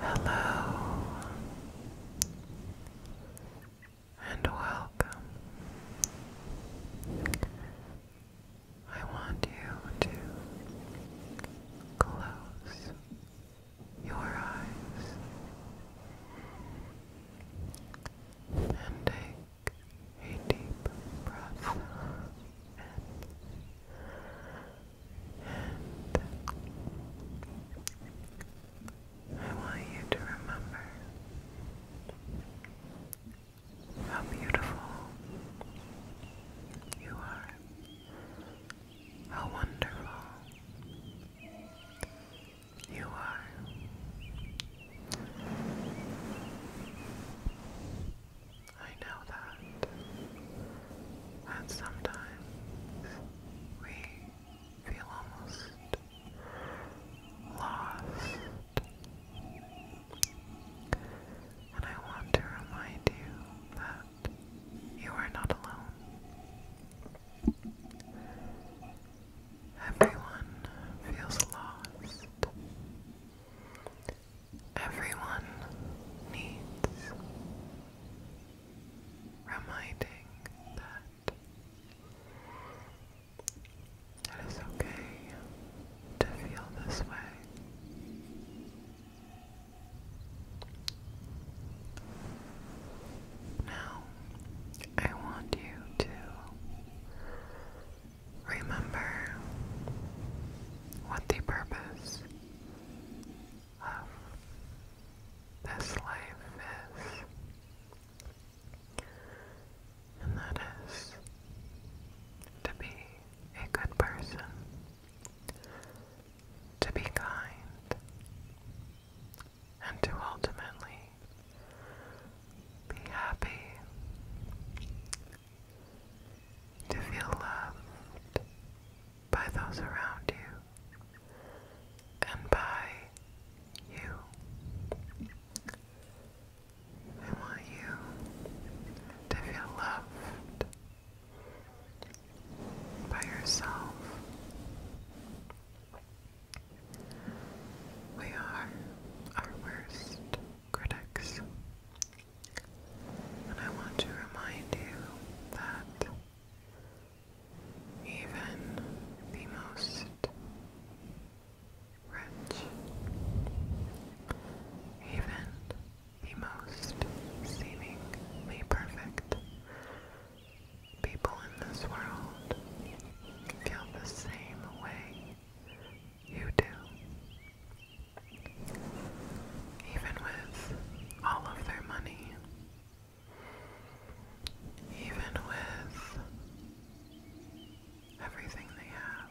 Hello and welcome. I want you to close your eyes and take a deep breath and I want you to remember how beautiful you are, how wonderful you are. I know that. And sometimes we feel almost lost. And I want to remind you that you are not alone. Everyone feels lost. Everyone needs reminding that it is okay to feel this way. Now, I want you to remember what the purpose of this life is. And that is to be a good person, to be kind, and to ultimately be happy to feel loved by those around you and by you. I want you to feel loved by yourself. We are our worst critics. And I want to remind you that even the most rich, even the most seemingly perfect people in this world feel the same way you do. Even with all of their money, even with everything they have,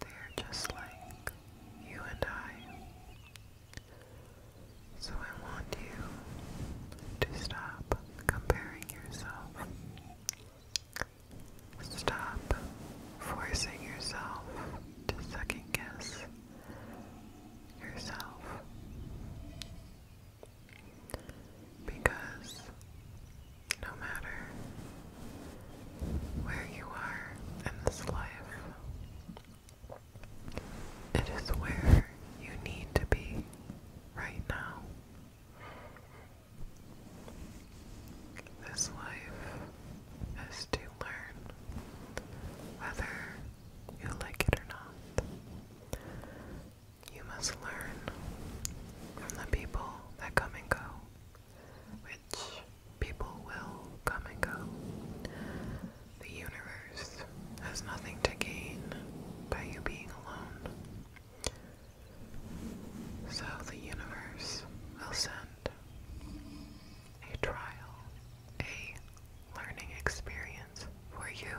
they're just like you and I. So I want you to stop comparing yourself Stop forcing yourself to second guess yourself because no matter where you are in this life, it is where you need to be right now. This life is to learn whether you like it or not. You must learn from the people that come and go, which people will come and go. The universe has nothing to gain by you being alone. So the universe will send a trial, a learning experience for you.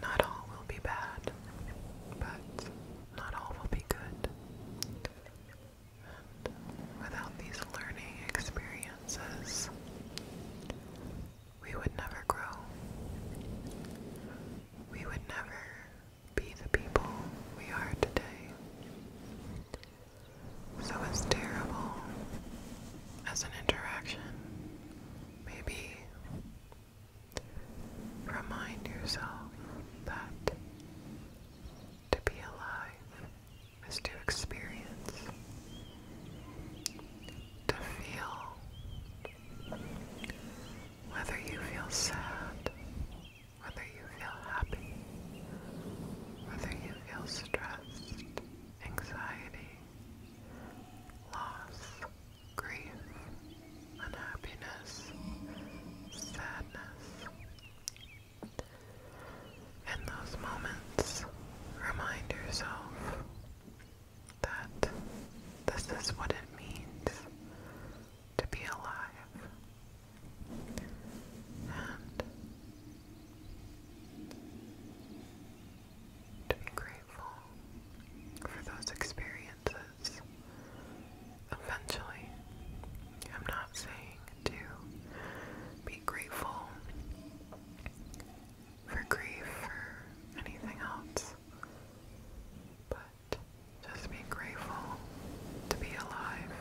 Not all will be bad, but not all will be good. without these learning experiences, we would never grow. We would never be the people we are today. So, as terrible as an interaction may be, remind yourself that to be alive is to experience, to feel. Whether you feel sad whether you feel happy, whether you feel stressed, anxiety, loss, grief, unhappiness, sadness. In those moments, remind yourself that this is what it means to be alive. And to be grateful for those experiences. Eventually, I'm not saying to be grateful for grief or anything else, but just be grateful to be alive.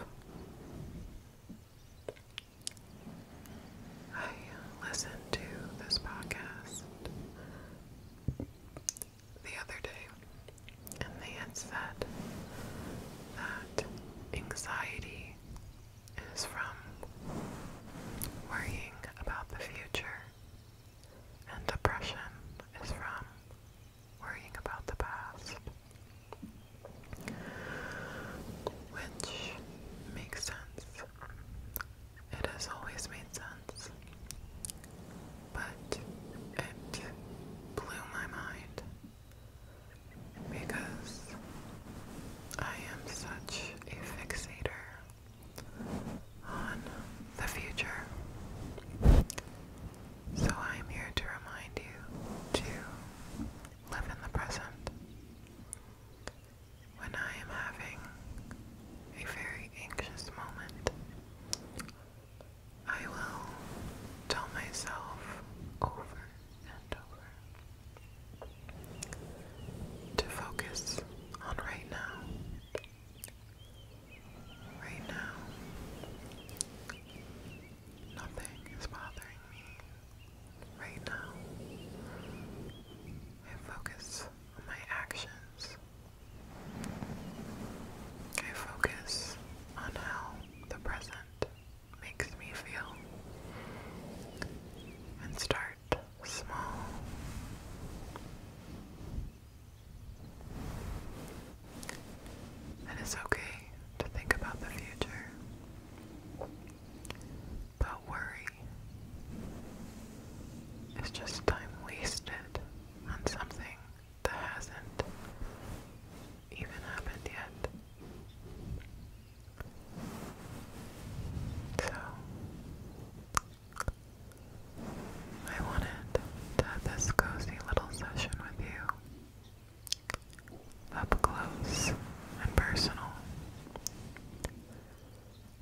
I listened to this podcast the other day, and they said that anxiety is from worrying about the future, and depression is from worrying about the past. Which makes sense. It has always made sense. But it blew my mind because I am such a fixator on the future. So I am here to remind you to live in the present. When I am having a very anxious moment, I will tell myself over and over to focus on right now. Right now, nothing is bothering Right now, I focus on my actions. I focus on how the present makes me feel and start small it's okay to think about the future, but worry is just time wasted on something that hasn't even happened yet. So, I wanted to have this cozy little session with you. Up close and personal.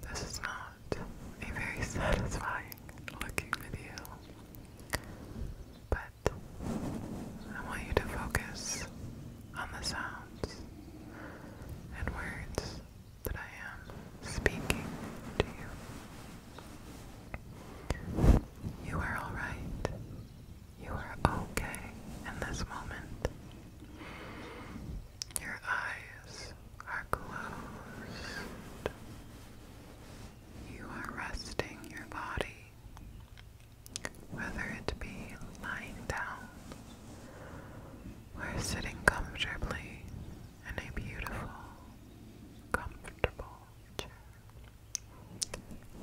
This is not a very satisfying looking video, but I want you to focus on the sounds and words that I am speaking to you. You are alright. You are okay in this moment. Your eyes are closed. You are resting your body, whether it be lying down or sitting comfortably in a beautiful, comfortable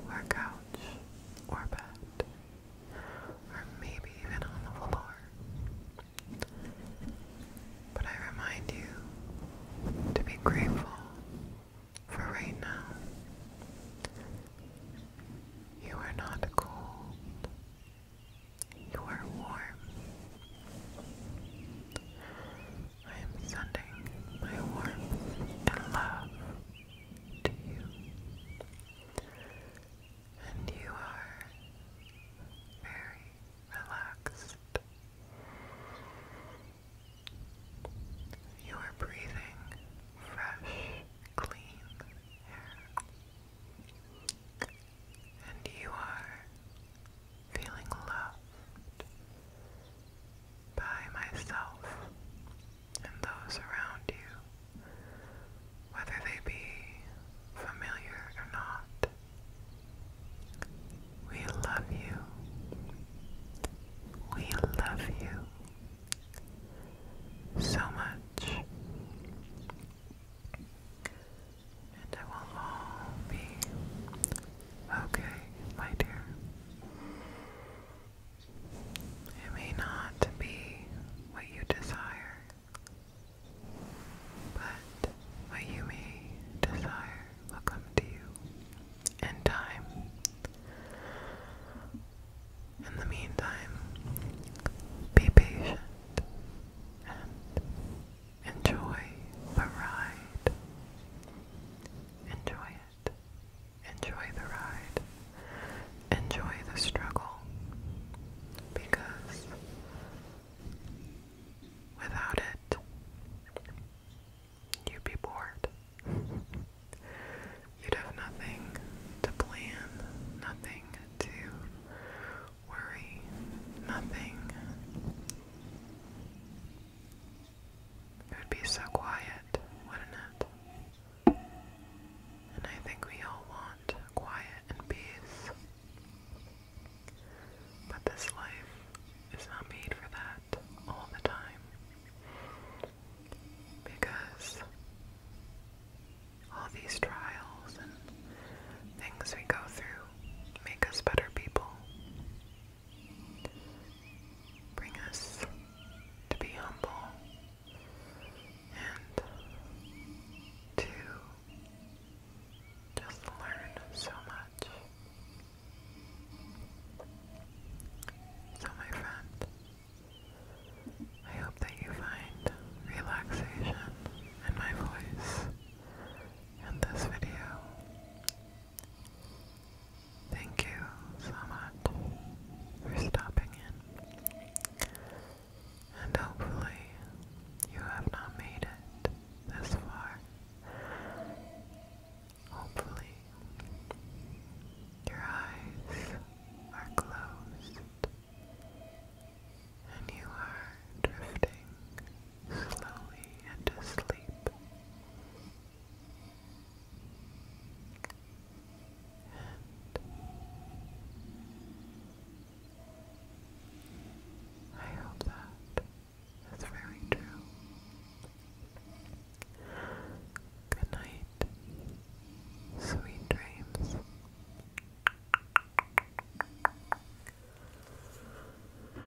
or couch, or bed, or maybe even on the floor. But I remind you to be grateful for right now. You are not cold. You are warm. I am sending my warmth and love to you. And you are very relaxed. You are breathing fresh, clean air. And you are feeling loved by myself and those around you, whether they be familiar or not. We love you. We love you so much. And I will all be Okay, my dear. It may not be what you desire, but what you may desire will come to you in time. In the meantime, be patient and Enjoy the ride. Enjoy it. Enjoy the ride. Enjoy the struggle. Because without it, you'd be bored. You'd have nothing to plan, nothing to worry, nothing it would be so quiet, wouldn't it? And I think we all want quiet and peace. But this life is not made for that all the time. Because all these trials and things we go through make us better people bring us to be humble and to just learn so much. So, my friend, I hope that you find relaxation in my voice in this video. Thank you so much for stopping in. And hopefully, you have not made it this far. Hopefully, your eyes are closed and you are drifting slowly into sleep. And I hope that is very true. Good night, sweet dreams.